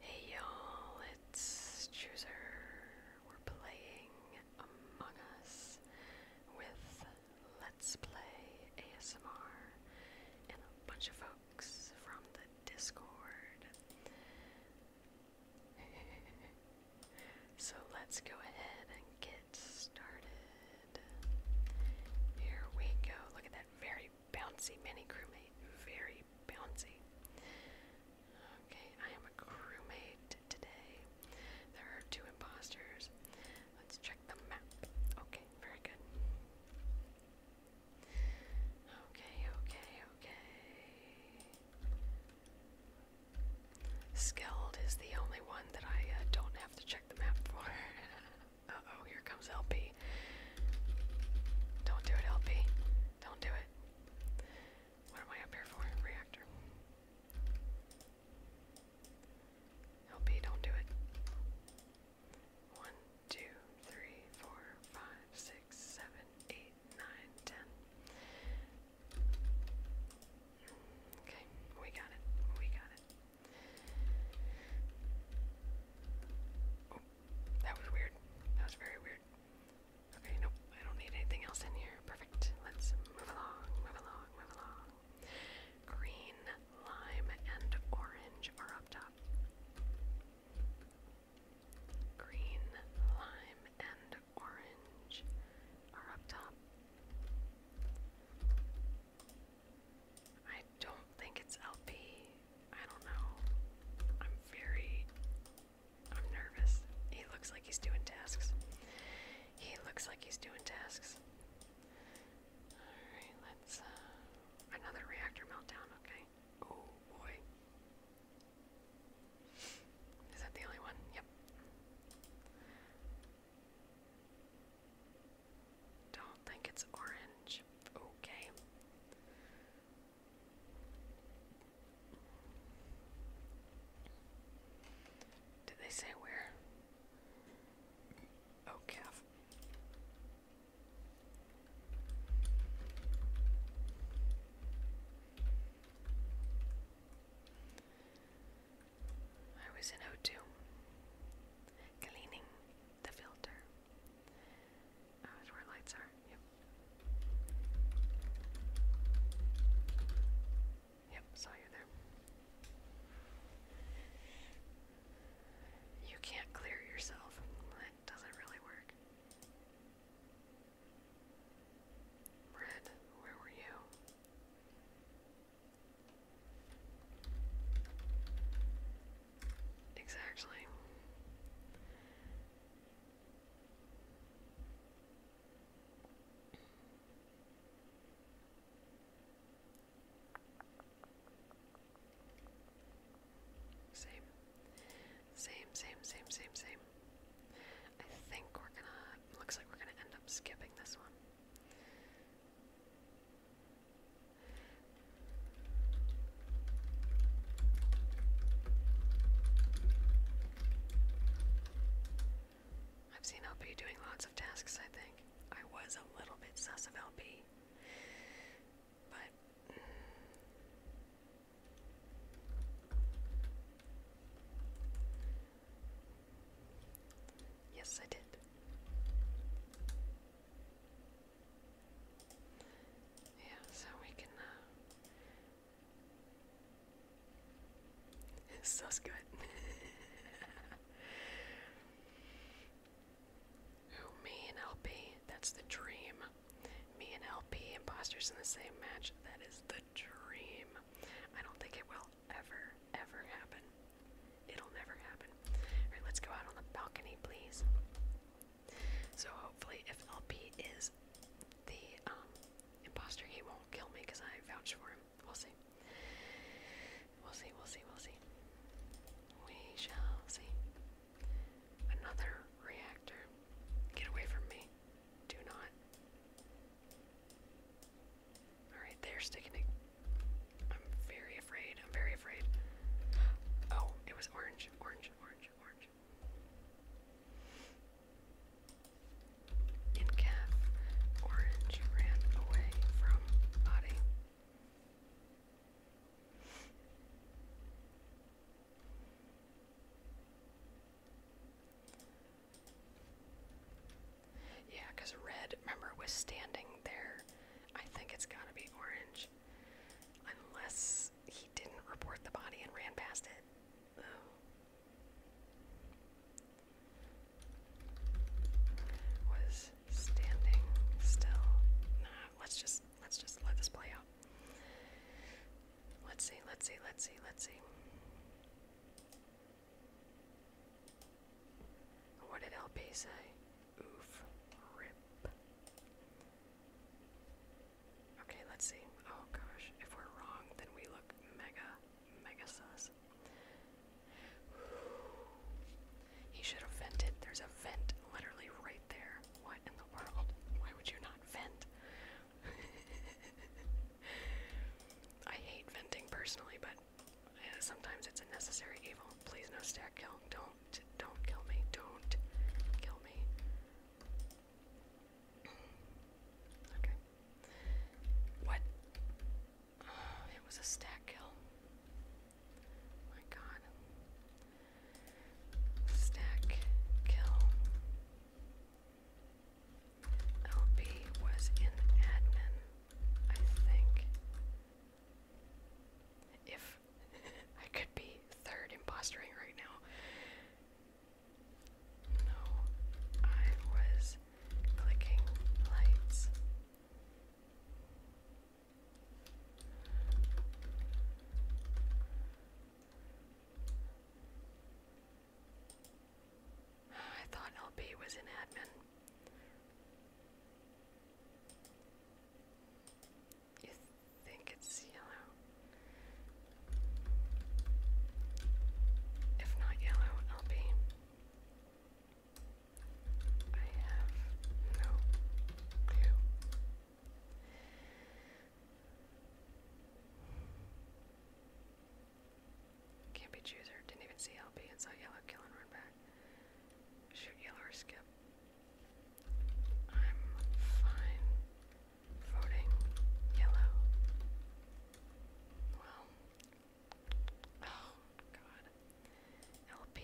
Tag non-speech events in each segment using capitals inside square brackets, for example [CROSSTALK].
Hey y'all, it's Chooser. We're playing Among Us with Let's Play ASMR and a bunch of folks from the Discord. [LAUGHS] so let's go ahead and get started. Here we go. Look at that very bouncy mini crewmate. Very bouncy. Okay, I am a crewmate today. There are two imposters. Let's check the map. Okay, very good. Okay, okay, okay. Skilled is the only one that I uh, don't have to check the map for. [LAUGHS] uh oh, here don't do it, LP. Don't do it. What am I up here for? Reactor. LP, don't do it. One, two, three, four, five, six, seven, eight, nine, ten. Okay, we got it. We got it. That was weird. That was very weird. Okay, nope. I don't need anything else in here. Perfect. Let's move along, move along, move along. Green, lime, and orange are up top. Green, lime, and orange are up top. I don't think it's LP. I don't know. I'm very. I'm nervous. He looks like he's doing tasks. He looks like he's doing tasks. Alright, let's. Uh, another reactor meltdown, okay. Oh boy. Is that the only one? Yep. Don't think it's orange. Okay. Did they say where? Oh, calf. I was in 0 cleaning the filter. Oh, that's where lights are. Yep. Yep, saw you there. You can't clear yourself. That doesn't really work. Red, where were you? Exactly. Same. Same, same, same, same, same. I think we're gonna. Looks like we're gonna end up skipping this one. I've seen LP doing lots of tasks, I think. I was a little bit sus LP. But. Yes, I did. Yeah, so we can. Uh... This [LAUGHS] good. Who [LAUGHS] me and LP? That's the dream. Me and LP imposters in the same match. That is the dream. I don't think it will ever, ever happen. It'll never happen. Alright, let's go out on the balcony, please. So hopefully, if LP is the um, imposter, he won't kill me because I vouched for him. We'll see. We'll see. We'll see. We'll see. We shall see. Another reactor. Get away from me. Do not. Alright, they're sticking I'm very I'm very afraid. Oh, it was orange, orange, orange, orange. In orange ran away from body. Yeah, red, remember, was standing there. I think it's gotta be orange. Unless he didn't report the body and ran past it. Oh. Was standing still. let's just let's just let this play out. Let's see, let's see, let's see, let's see. What did LP say? Oof. Rip. Okay, let's see. Oh gosh, if we're wrong, then we look mega, mega sus. [SIGHS] He should have vented. There's a vent literally right there. What in the world? Why would you not vent? [LAUGHS] I hate venting personally, but uh, sometimes it's a necessary evil. Please no stack kill. Don't don't, kill me, don't kill me. [CLEARS THROAT] okay. What? [SIGHS] it was a stack kill. My god. Stack kill. LB was in admin, I think. If [LAUGHS] I could be third impostering right now. No, I was clicking lights. [SIGHS] I thought LB was an admin. You think it's yellow? If not yellow, LB. I have no clue. Can't be chooser. Didn't even see LP and saw yellow. Kill and run back. Shoot, yellow skip. I'm fine voting yellow. Well, oh god. LP,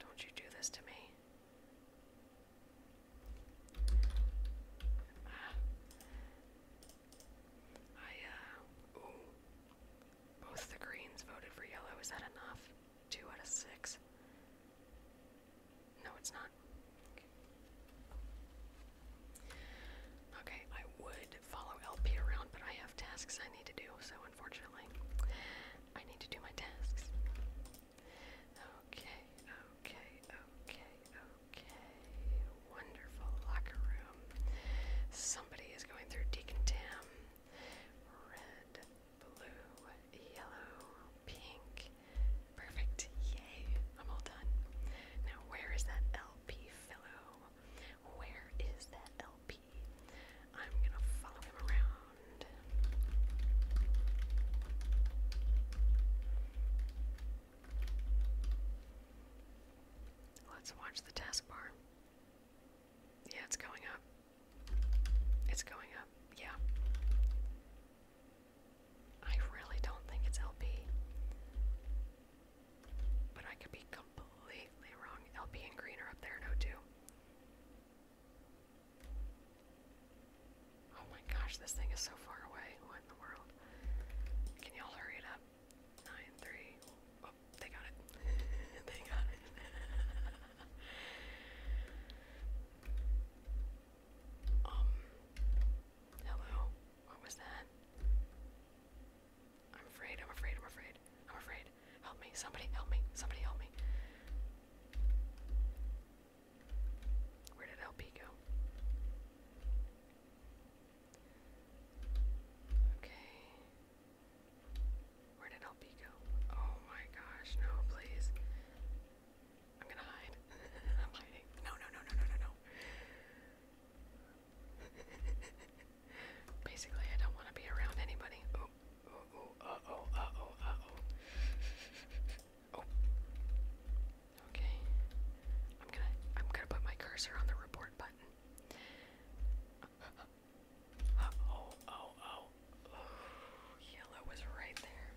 don't you do this to me. Ah. I, uh, both the Greens voted for yellow. Is that enough? Two out of six. No, it's not. Okay, I would follow LP around, but I have tasks I need to do, so unfortunately, I need to do my tasks. Okay, okay, okay, okay. Wonderful locker room. Somebody is going through Deacon Tam red, blue, yellow, pink. Perfect. Yay. I'm all done. Now, where is that LP fellow? Where is that LP? I'm going to follow him around. Let's watch the taskbar. Yeah, it's going up. It's going up, yeah. I really don't think it's LB. But I could be completely wrong. LB and green are up there no too. Oh my gosh, this thing is so far away. What in the world? Can y'all hurry it up? Nine, three, they got it. [LAUGHS] they got it. [LAUGHS] um. Hello. What was that? I'm afraid. I'm afraid. I'm afraid. I'm afraid. Help me. Somebody help me. Somebody help me. Where did LP go? Okay. Where did LP Oh my gosh, no, please. I'm gonna hide. [LAUGHS] I'm hiding. No, no, no, no, no, no, no. [LAUGHS] Basically, I don't want to be around anybody. Oh, oh, oh, uh oh, oh, oh. [LAUGHS] oh. Okay. I'm gonna, I'm gonna put my cursor on the report button. Oh, oh, oh. Oh, yellow was right there.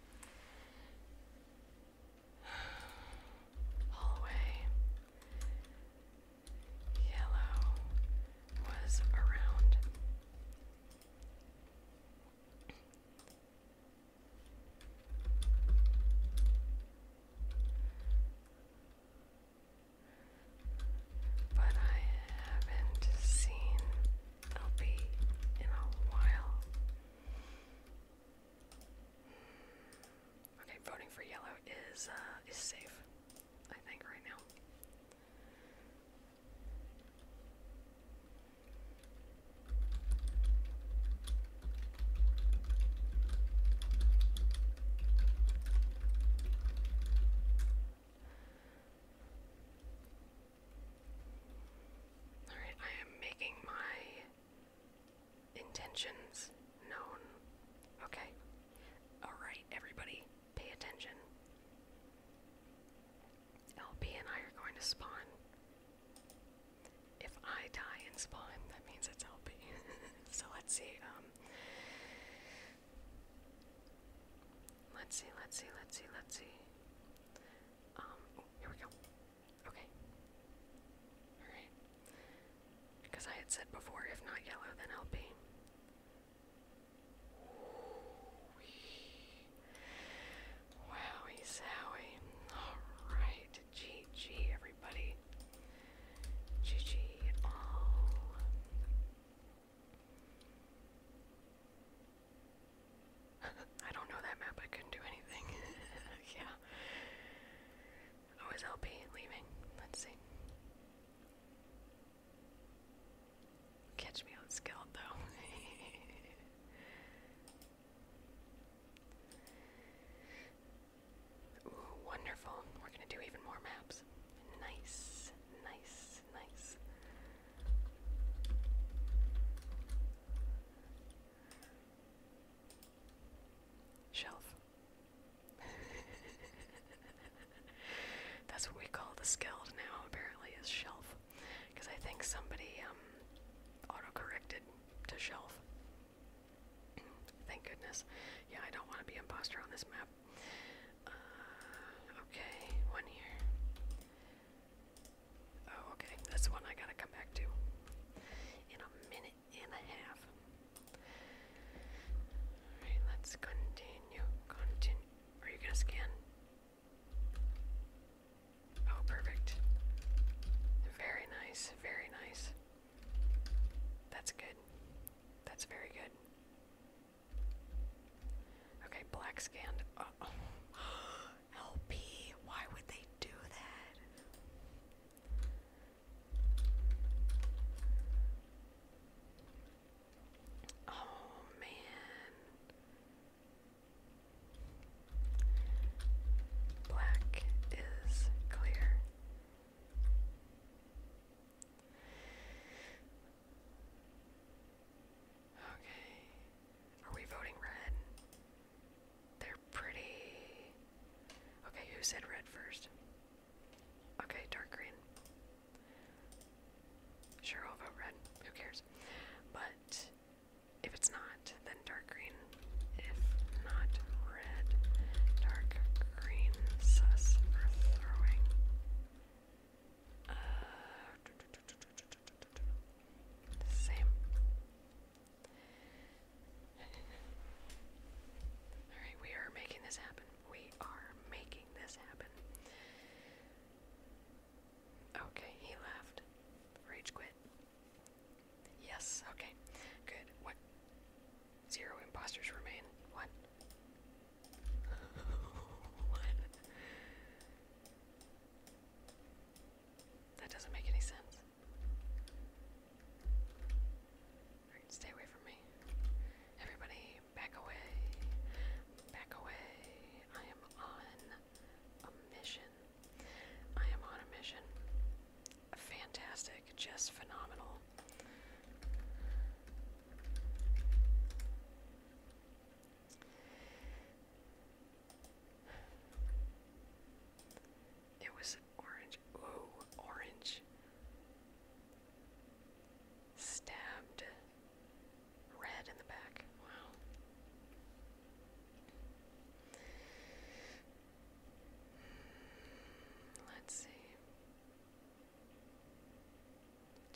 Holloway. [SIGHS] Yellow was around but I haven't seen LP in a while. Okay, voting for yellow is uh, is safe, I think, right now. All right, I am making my intentions known. Okay. All right, everybody, pay attention. LB and I are going to spawn. If I die and spawn, that means it's LB. [LAUGHS] so let's see. Um, Let's see, let's see, let's see, let's see. Um, oh, here we go. Okay. Alright. Because I had said before, if not yellow, then LP. Wowie, wowie, sowie. Alright, GG, everybody. Gigi. Oh. [LAUGHS] I don't know that map. I couldn't do anything. [LAUGHS] yeah. Oh, LP leaving? Let's see. Catch me on skeleton though. [LAUGHS] wonderful. We're gonna do even more maps. Nice, nice, nice. Shelf. [LAUGHS] That's what we call the skilled now, apparently, is shelf. Because I think somebody um, auto corrected to shelf. Thank goodness. Yeah, I don't want to be impostor on this map. Uh, okay, one here. Oh, okay. That's one I gotta come back to in a minute and a half. Alright, let's continue. Continue. Are you gonna scan? Oh, perfect. Very nice, very nice. That's good. That's very good. Okay, black scanned. Oh, [GASPS] LP, why would they do that? Oh man. Black is clear. Okay. Are we voting red? They're pretty. Okay, who said red first? Okay, dark green. Sure, vote red. Who cares? But if it's not, then dark green. If not uh, same. Alright, we are making this happen. We are making this happen. Okay, he left. Rage quit. Yes, okay. Good. What? Zero imposters remain. What? [LAUGHS] what? That doesn't make any sense. stay away from me. Everybody, back away. Back away. I am on a mission. I am on a mission fantastic, just phenomenal. It was orange. Ooh, orange. Stabbed red in the back. Wow. Let's see.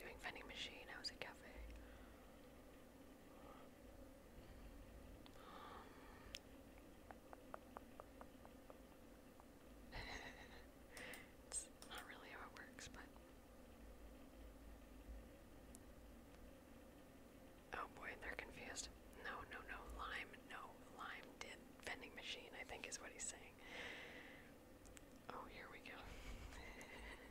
Doing vending machine, I was at cafe. it's not really how it works, but Oh boy, they're confused. No, no, no, lime, no, lime did vending machine, I think is what he's saying. Oh, here we go. [LAUGHS]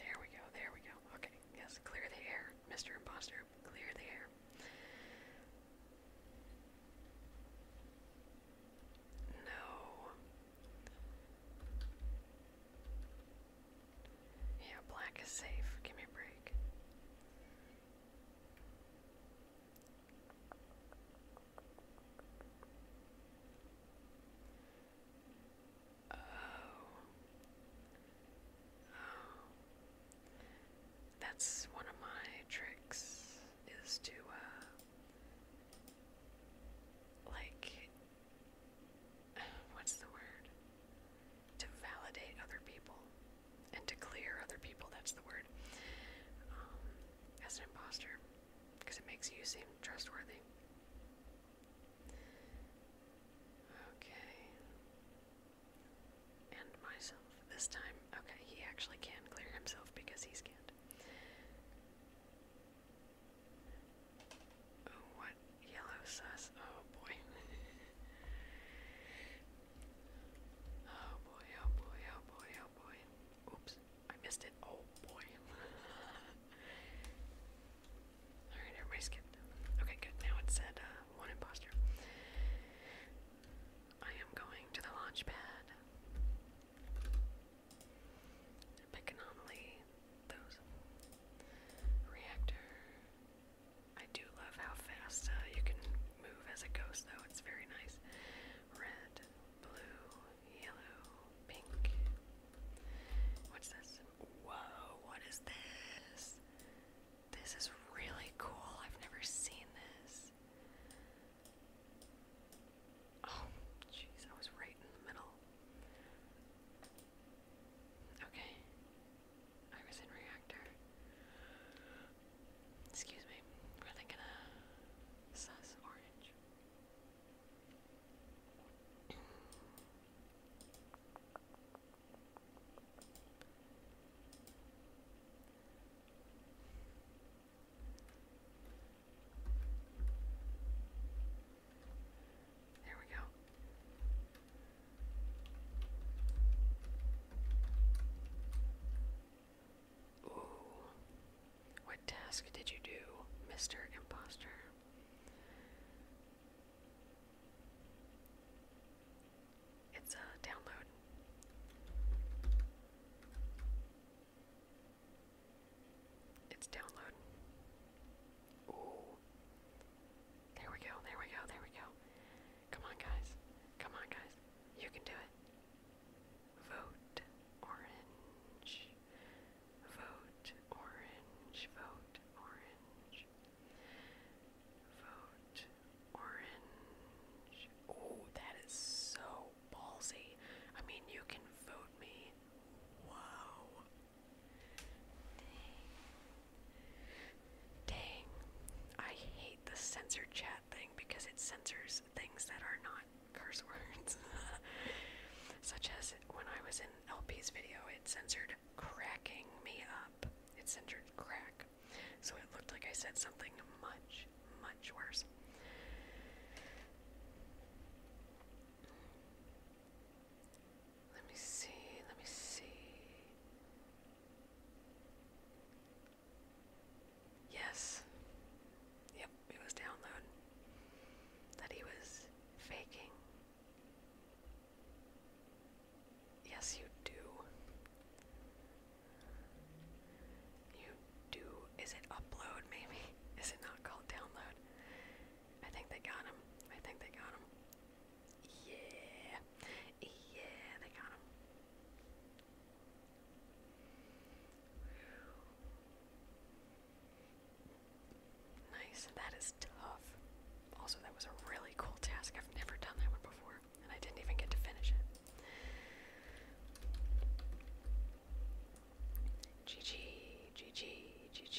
there we go, there we go. Okay, yes, clear the air, Mr. Imposter, clear the air. No. Yeah, black is safe. Give me a break. Oh. Oh. That's one of my tricks is to uh, like what's the word? To validate other people and to clear other people, that's the word, um, as an imposter because it makes you seem trustworthy. Okay. And myself this time. Okay, he actually can clear himself because he's scanned. Oh, what yellow sus? Oh, [LAUGHS] oh boy. oh boy, oh boy, oh boy, Oops, I missed it. Oh boy. [LAUGHS] Alright, everybody skipped. Okay, good. Now it said uh, one imposter. I am going to the launch pad. Pick anomaly. Those. Reactor. I do love how fast uh, you can move as a ghost, though. It's very nice. Red, blue, yellow, pink. What's this? Whoa, what is this? This is really cool. I've never seen this. Oh, jeez, I was right in the middle. Okay. I was in reactor. Excuse me. We're thinking of sus orange. There we go. Ooh. What task did you do, Mr. Imposter? It's a download. It's download. Ooh. There we go, there we go, there we go. Come on, guys. Come on, guys. You can do it. Vote orange. Vote orange. Vote orange. Vote orange. Oh, that is so ballsy. I mean, you can vote me. Wow. Dang. Dang. I hate the censor chat thing because it censors things that are not curse [LAUGHS] words. Such as when I was in LP's video, it censored cracking me up. It censored crack. So it looked like I said something much, much worse. Let me see, let me see. Yes. Yep, it was download that he was faking. Yes, you do. You do. Is it upload, maybe? [LAUGHS] Is it not called download? I think they got him. I think they got him. Yeah. Yeah, they got him. Nice. That is tough. Also, that was a really cool task. I've never done that one before, and I didn't even get to finish it. GG, GG, GG,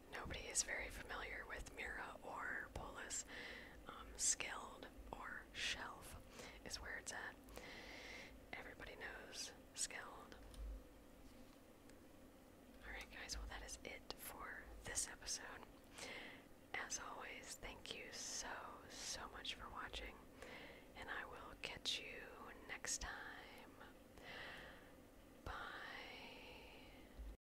Nobody is very familiar with Mira or Polis. Um, skilled or shelf is where it's at. Everybody knows skilled. Alright, guys, well, that is it for this episode. As always, thank you so, so much for watching, and I will catch you next time. Bye.